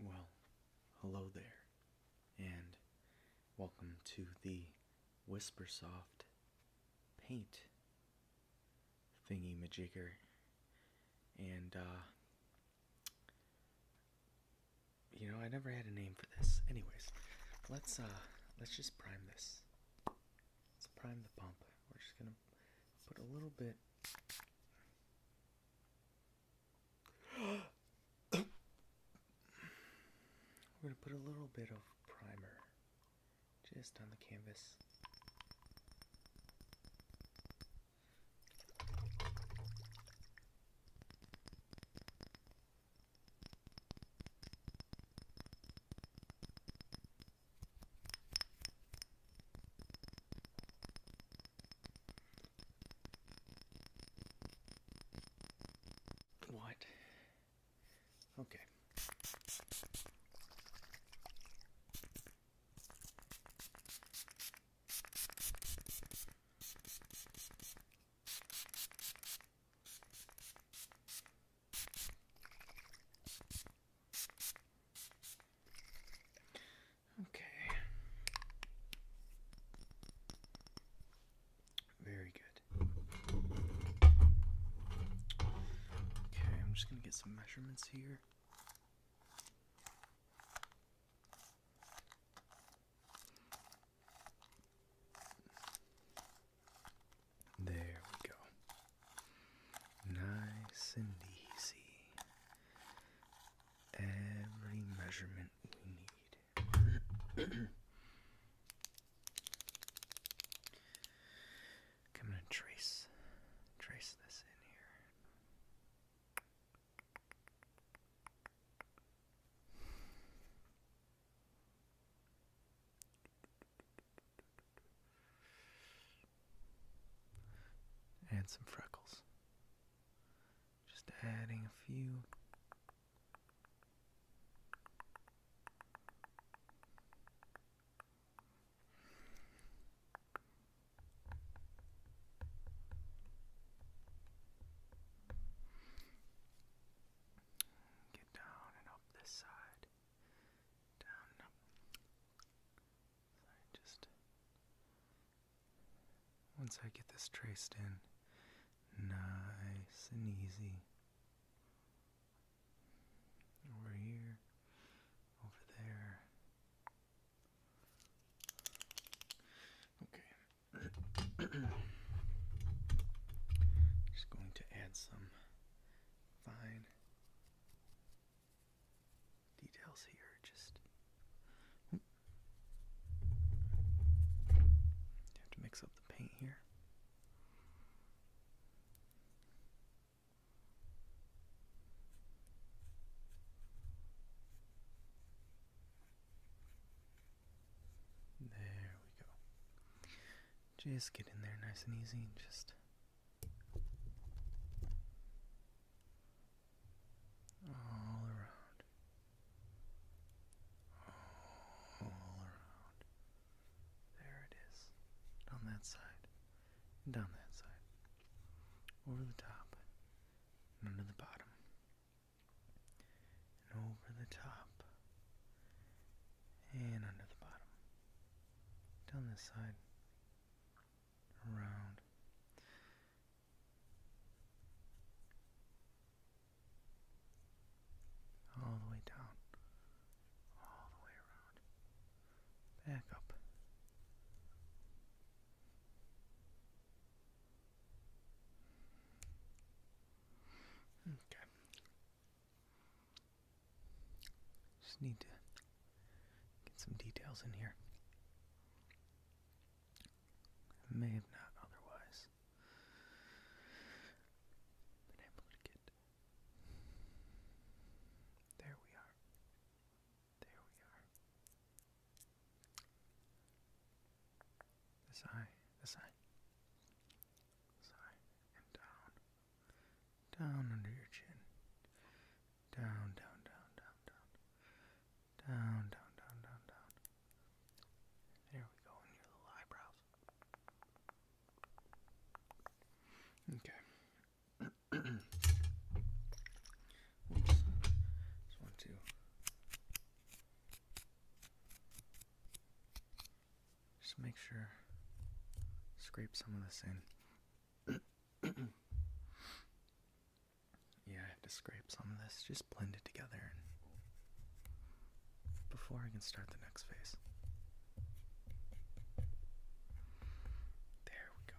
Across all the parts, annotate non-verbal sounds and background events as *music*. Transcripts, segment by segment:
Well, hello there, and welcome to the Whispersoft paint thingy majigger. And, uh, you know, I never had a name for this. Anyways, let's, uh, let's just prime this. Let's prime the pump. We're just gonna put a little bit we're going to put a little bit of primer just on the canvas. What? Okay. Okay. Very good. Okay, I'm just going to get some measurements here. There we go. Nice and easy. Every measurement we need. I'm *clears throat* gonna trace trace this in here. And some freckles. Just adding a few. Get down and up this side once I get this traced in, nice and easy. Over here, over there. Okay. *coughs* Just going to add some fine details here just have to mix up the paint here there we go. Just get in there nice and easy and just. All around. All around. There it is. Down that side. down that side. Over the top. And under the bottom. And over the top and under the bottom. Down this side, around. All the way down, all the way around, back up. Okay, just need to get some details in here. may have not otherwise been able to get. There we are. There we are. This eye, this eye. Sorry. And down. Down under your chin. Down, down, down, down, down. Down, down, down, down, down. There we go, in your little eyebrows. Okay. *clears throat* Oops. Just just make sure, scrape some of this in. *coughs* yeah, I have to scrape some of this. Just blend it together before I can start the next phase. There we go.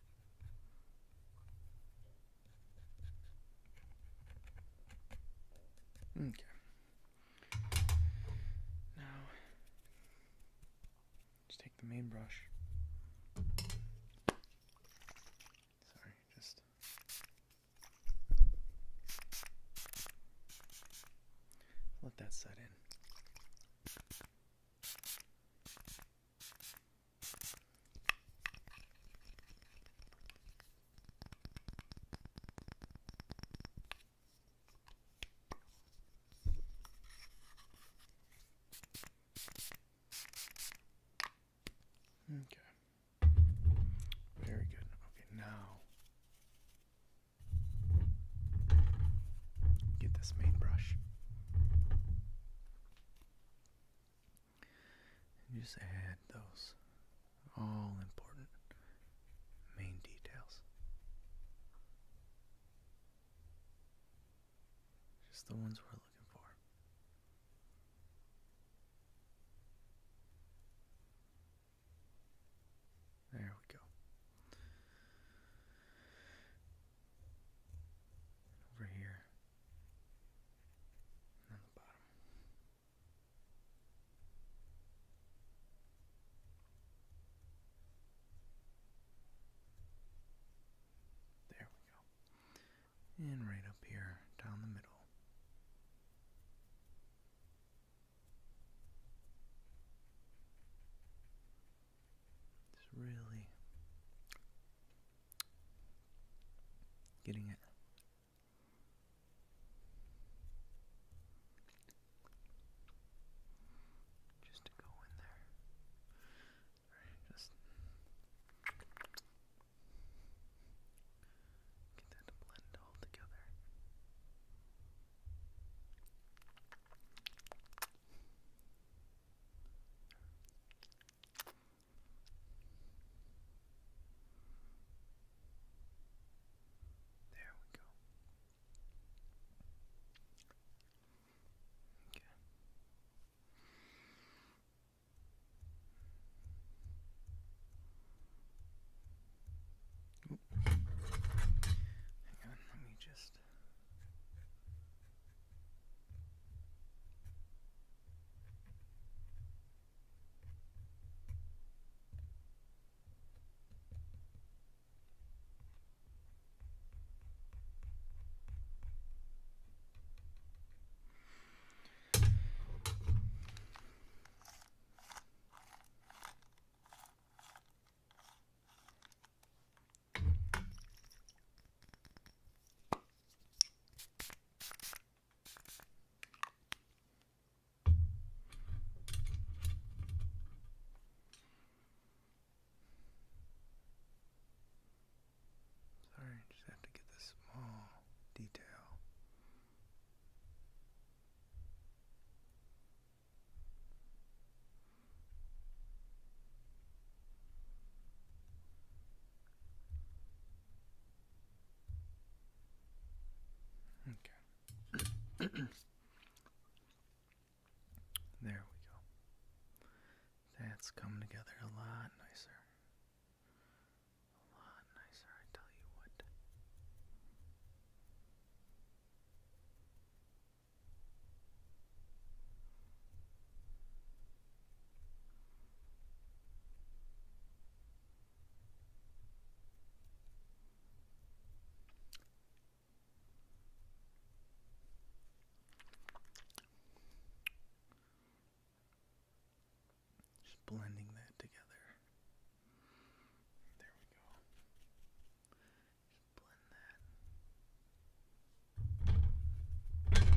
Okay. Now, just take the main brush. Sorry, just. Let that set in. Okay. Very good. Okay, now Get this main brush. And just add those all important main details. Just the ones we're looking for. There we go. over here. And the bottom. There we go. And right up here down the middle. It's really getting it. Just to go in there. just get that to blend all together. There we go. Okay. Ooh, Hang on, let me just. Sorry, just have to get the small detail. Okay. *clears throat* there we go. That's come together a lot nicer. A lot nicer, I tell you what. Just blending that together. There we go. Just blend that. There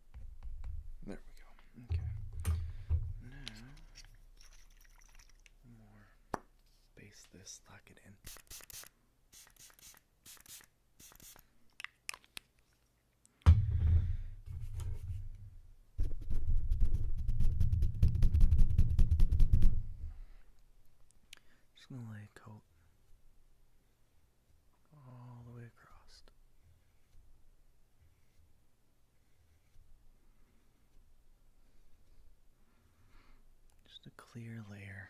there we go. Okay. Now, more. Base this, lock it in. Just gonna lay a coat all the way across. Just a clear layer.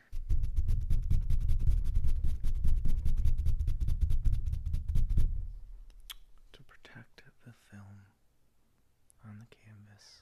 To protect the film on the canvas.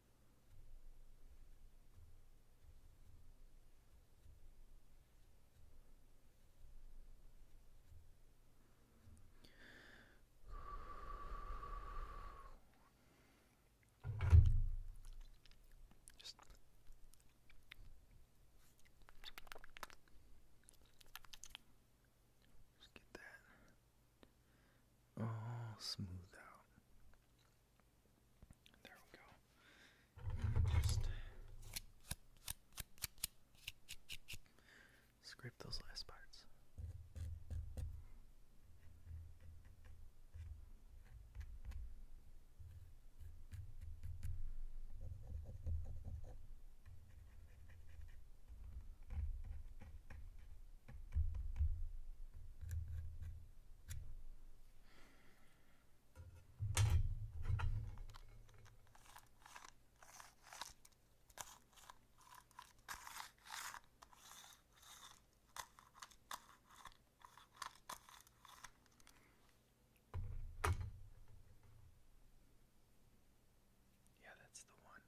Just just get that all smooth out. There we go. Just scrape those last parts. Yeah, that's the one.